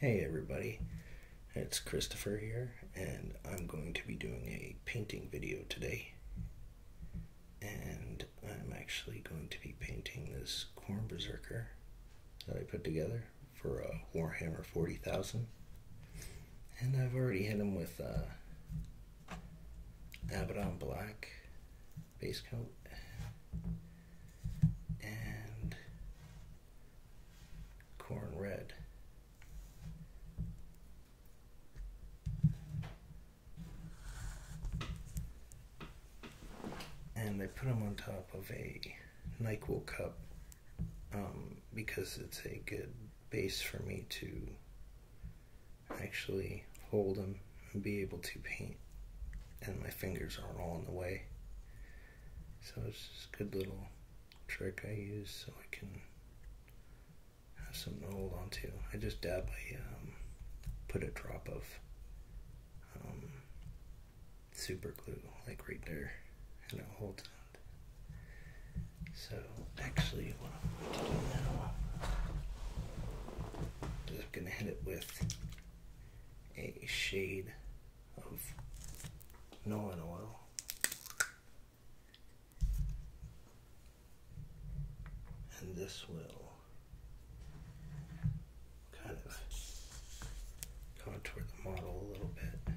Hey everybody, it's Christopher here, and I'm going to be doing a painting video today. And I'm actually going to be painting this corn berserker that I put together for a Warhammer 40,000. And I've already hit them with uh, Abaddon Black base coat. And Corn Red. And I put them on top of a NyQuil cup um, because it's a good base for me to actually hold them and be able to paint and my fingers aren't all in the way so it's just a good little trick I use so I can have something to hold onto. I just dab I um, put a drop of um, super glue, like right there, and it holds it. So actually, what I'm going to do now is I'm going to hit it with a shade of Nolan oil. And this will kind of contour the model a little bit.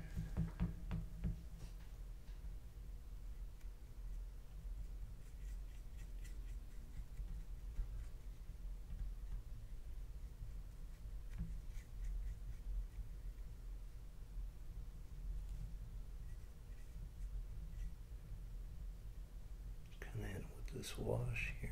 Come in with this wash here.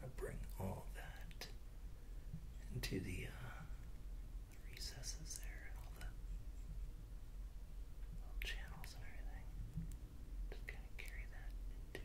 How bring all that into the, uh, recesses there all the little channels and everything. Just kind of carry that into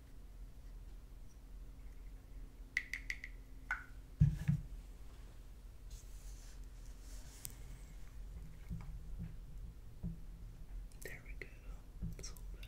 There we go. It's all better.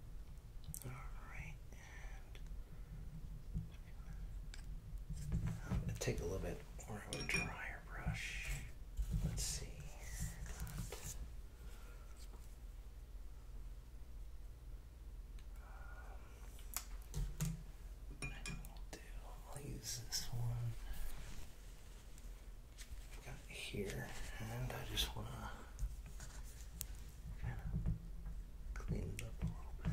Alright, take a little bit more of a dryer brush. Let's see um, I'll use this one got here, and I just want to kind of clean it up a little bit.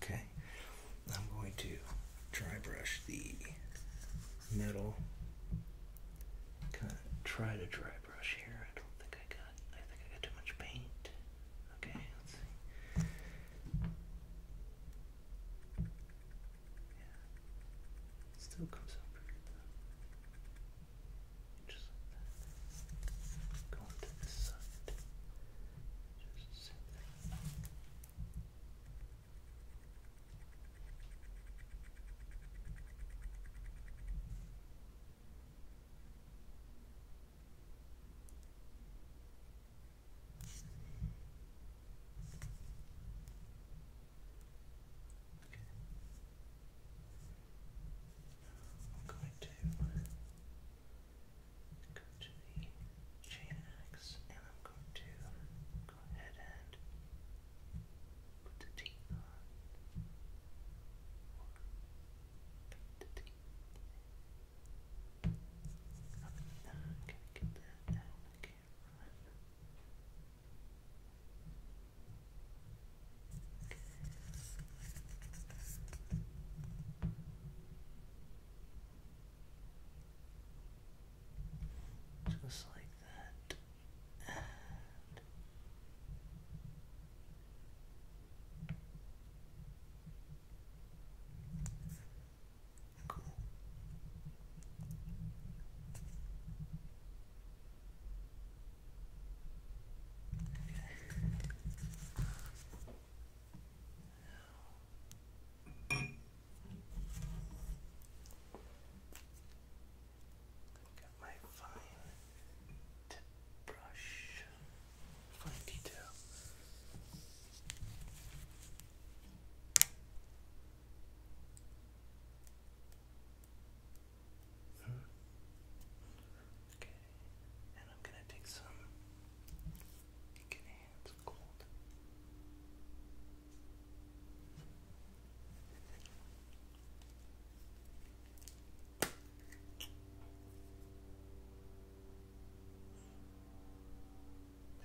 Okay, I'm going to dry brush the metal. Kind of try to dry brush here. I don't think I got. I think I got too much paint. Okay, yeah. It still comes out pretty good though. Just Go to this side. Just sit there. I'm going to go to the chain axe and I'm going to go ahead and put the teeth on. Put the teeth. I'm not gonna get that out of the camera. Just like that. cool. Got my fine tip brush, fine detail. Hmm. Okay, and I'm gonna take some. Get hands cold.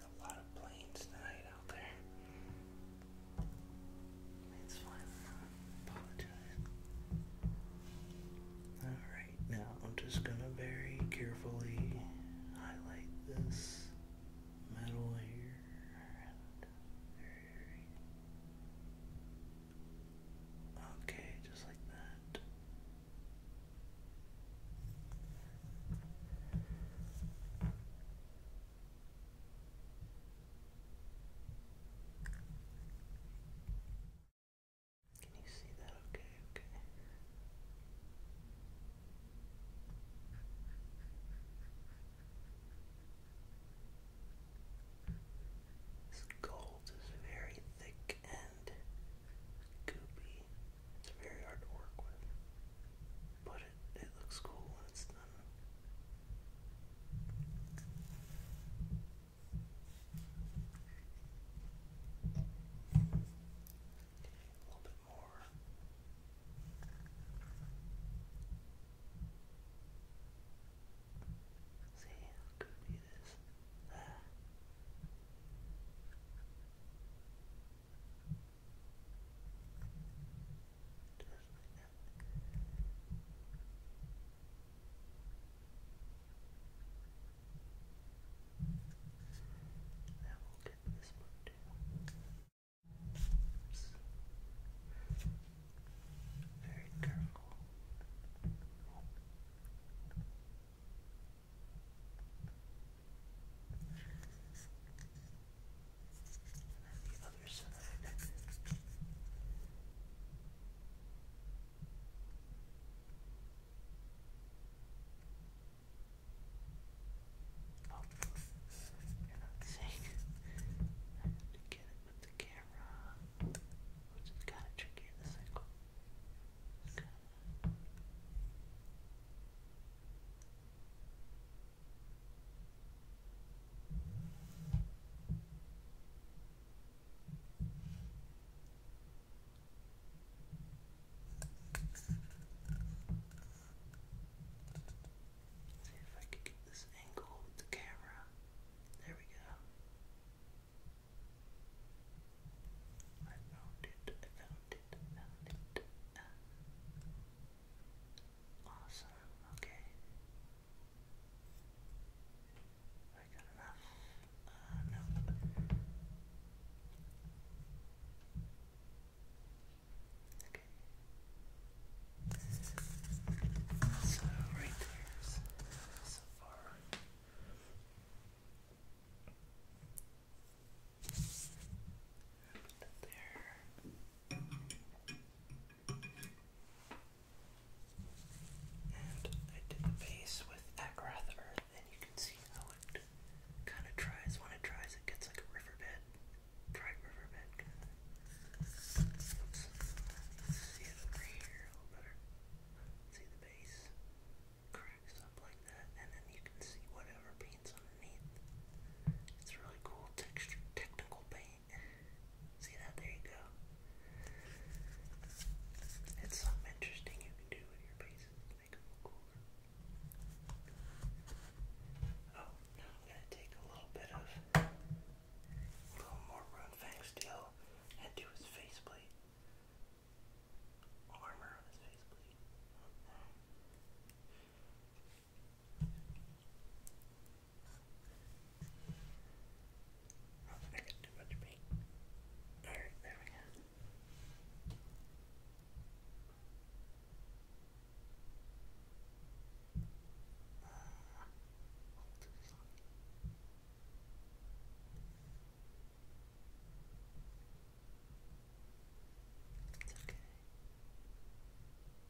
A lot of planes tonight, I Alright, now I'm just gonna very carefully highlight this metal here. Okay, just like that. Can you see that? Okay, okay. This gold is very thick and goopy. It's very hard to work with but it, it looks cool when it's done. A little bit more. See how goofy it is. Ah. Just like Very careful. And then the other side. Oh, you're to get it with the camera, which is kind of tricky in this See if I can get this angle with the camera. There we go. I found it, I found it, I found it. Awesome, okay. I got enough. Uh, no. Okay. So, right there's so far it And I did the base with Agrath Earth, and you can see how it kind of tries. When it tries, it gets like a riverbed, dried riverbed kind of. See it over here a little better. See the base cracks up like that, and then you can see whatever paints underneath. It's really cool texture, technical paint. See that? There you go. It's something interesting you can do with your bases to make them look cooler. Oh, now I'm gonna take a little bit of a little more Runefang steel and do his faceplate. Armor on his faceplate. Oh, I got too much paint. Alright, there we go. it's okay.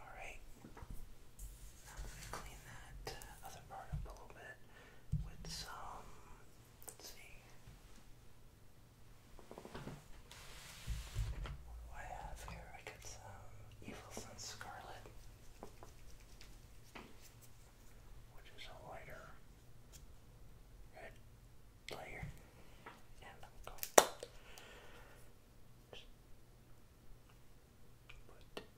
All right. Now I'm going to clean that other part up a little bit with some Let's see. What do I have here? I got some Evil Sun Scarlet, which is a lighter red layer, and I'm going to put it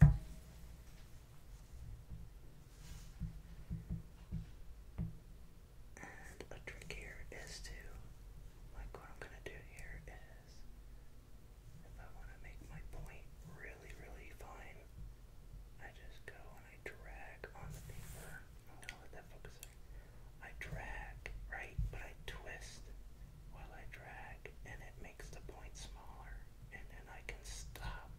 right and a trick here is to, like what I'm gonna do here is, if I wanna make my point really, really fine, I just go and I drag on the paper. I'm gonna let that focus there. I drag, right? But I twist while I drag and it makes the point smaller and then I can stop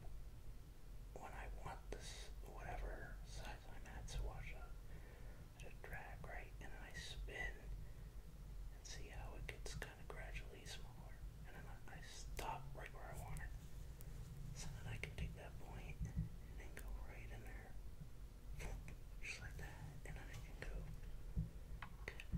when I want this, whatever size I'm at to wash up, I just drag right and then I spin and see how it gets kind of gradually smaller. And then I, I stop right where I want it. So that I can take that point and then go right in there. Just like that. And then I can go. Good.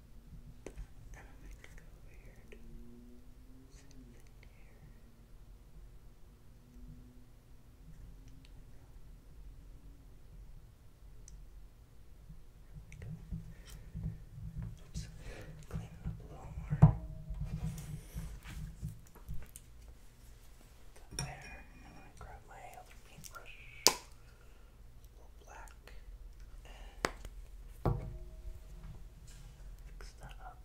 I'm gonna go weird. Something here. Oops. Clean it up a little more. Put there, and then I grab my other paintbrush little black, fix that up.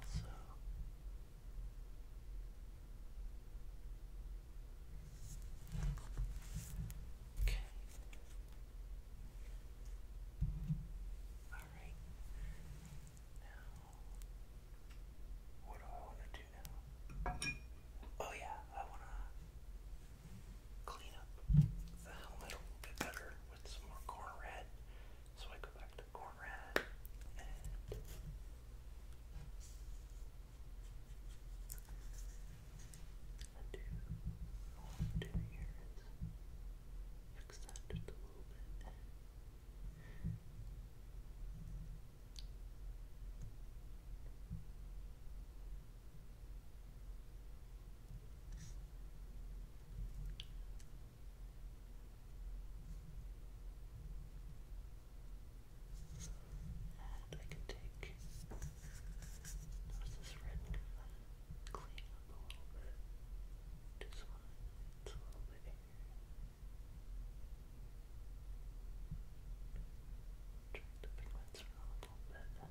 Also, okay. Alright. Now, what do I want to do now? Oh, yeah, I want to clean up the helmet a little bit better with some more corn red. So I go back to corn red and. do. All I'm doing here is fix that a little bit. And I can take notice this red from clean up a little bit. Just one, it's a little bit here. Drag the pigments around a little bit.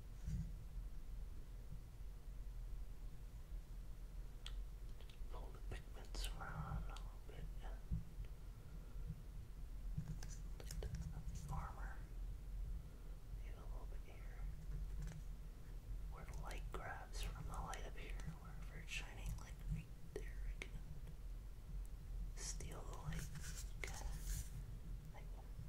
Pull the pigments around a little bit. Look a little bit here. Where light grabs from the light up here, wherever it's shining, like right there, I can steal the light.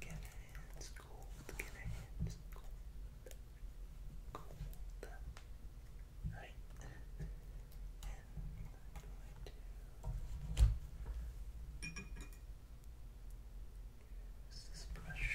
Get hands cold, get hands cold, cold. Right. And I'm use this brush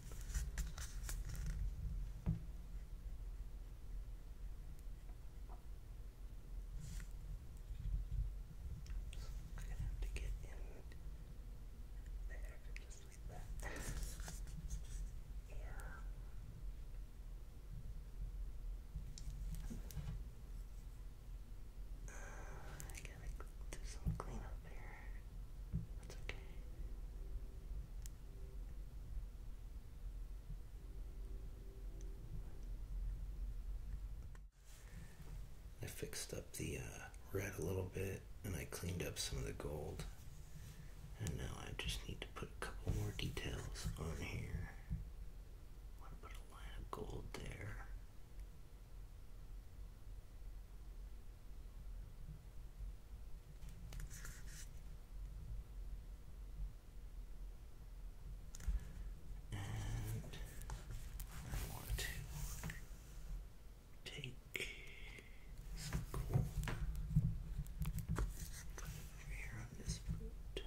I'm gonna have to get in there just like that. yeah. Uh, I I fixed up the uh, red a little bit and I cleaned up some of the gold. And now I just need to put a couple more details on here. I want to put a line of gold there. And I want to take some coal, over here on this boot.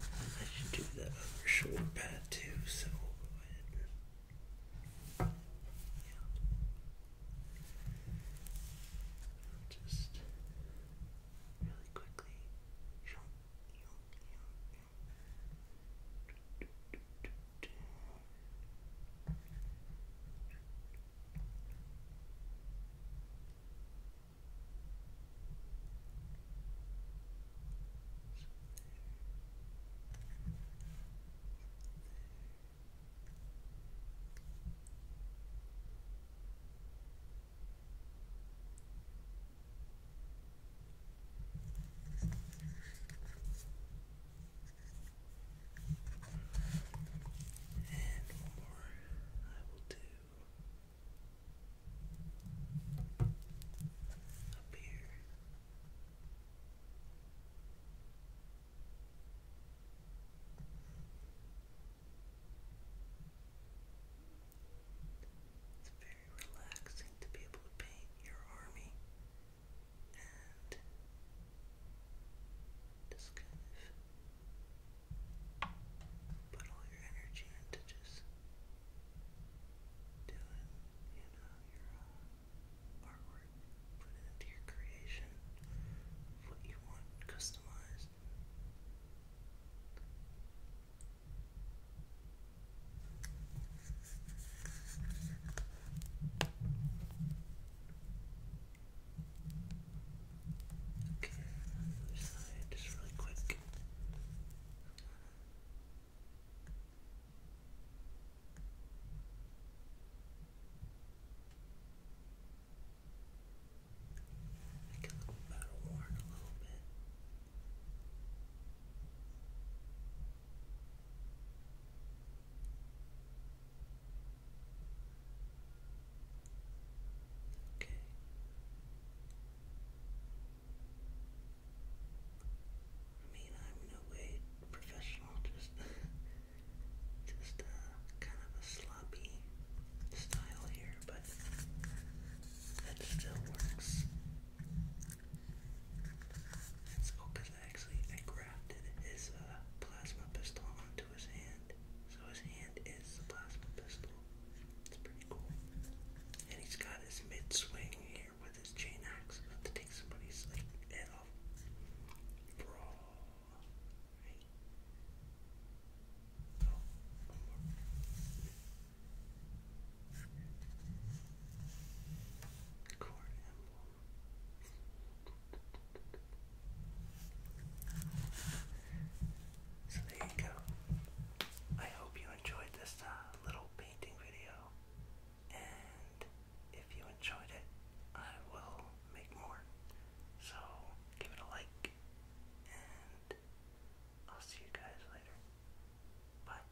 I should do that other shoulder pad too, so yeah. just really quickly. And one more I will do to up It's very relaxing to be able to paint your army and just kind of put all your energy into just doing, you know, your uh, artwork, put it into your creation, what you want customized. Okay, other side, just really quick. Make it look battle worn a little bit. Okay. I mean, I'm no professional, just, just uh, kind of a sloppy style here, but that still works. That's because actually I grafted his uh, plasma pistol onto to his hand. So his hand is the plasma pistol. It's pretty cool. And he's got his mid swing here with his chain axe about to take somebody's like head off. Bro. Right. Oh, one more. Cord emblem. So there you go. I hope you enjoyed this uh, little painting video. And if you enjoyed it, I will make more. So give it a like. And I'll see you guys later. Bye.